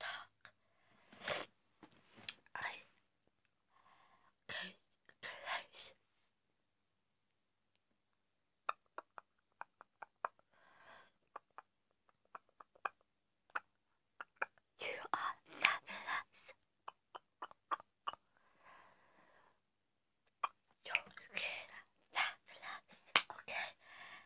dark. You are fabulous. You're good, fabulous. Okay,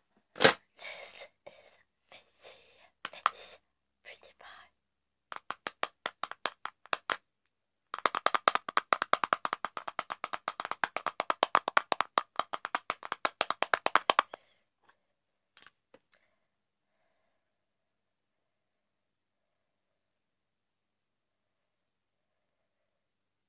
This is Missy Miss Pretty Pie.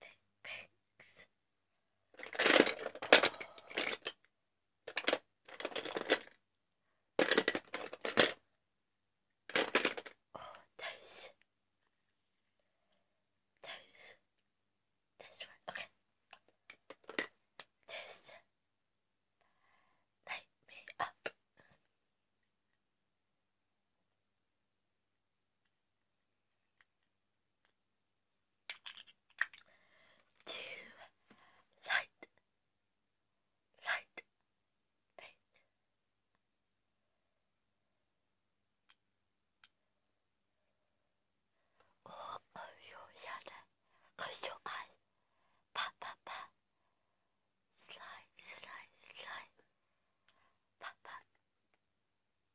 that it makes. Oh, those. Those. This one, okay. This. Light me up to light, light it. Oh, oh, you yada, your eyes, pa slide, slide, slide, pa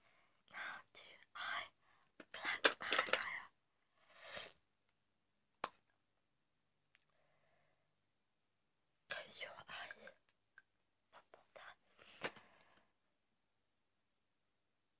Now do I black highlighter. Close your eyes. Not that.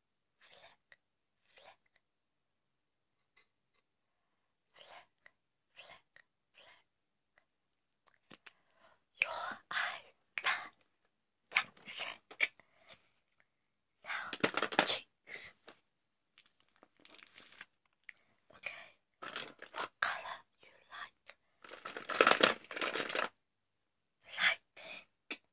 flick, your eyes that shake. Now cheeks. Okay, what color you like? Light pink.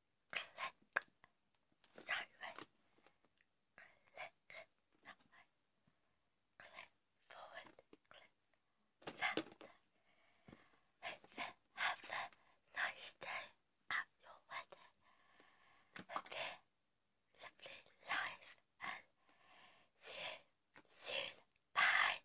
click sideways, click that click forward, click faster. Hope you have a nice day at your wedding. Hope you lovely life and see you soon. Bye.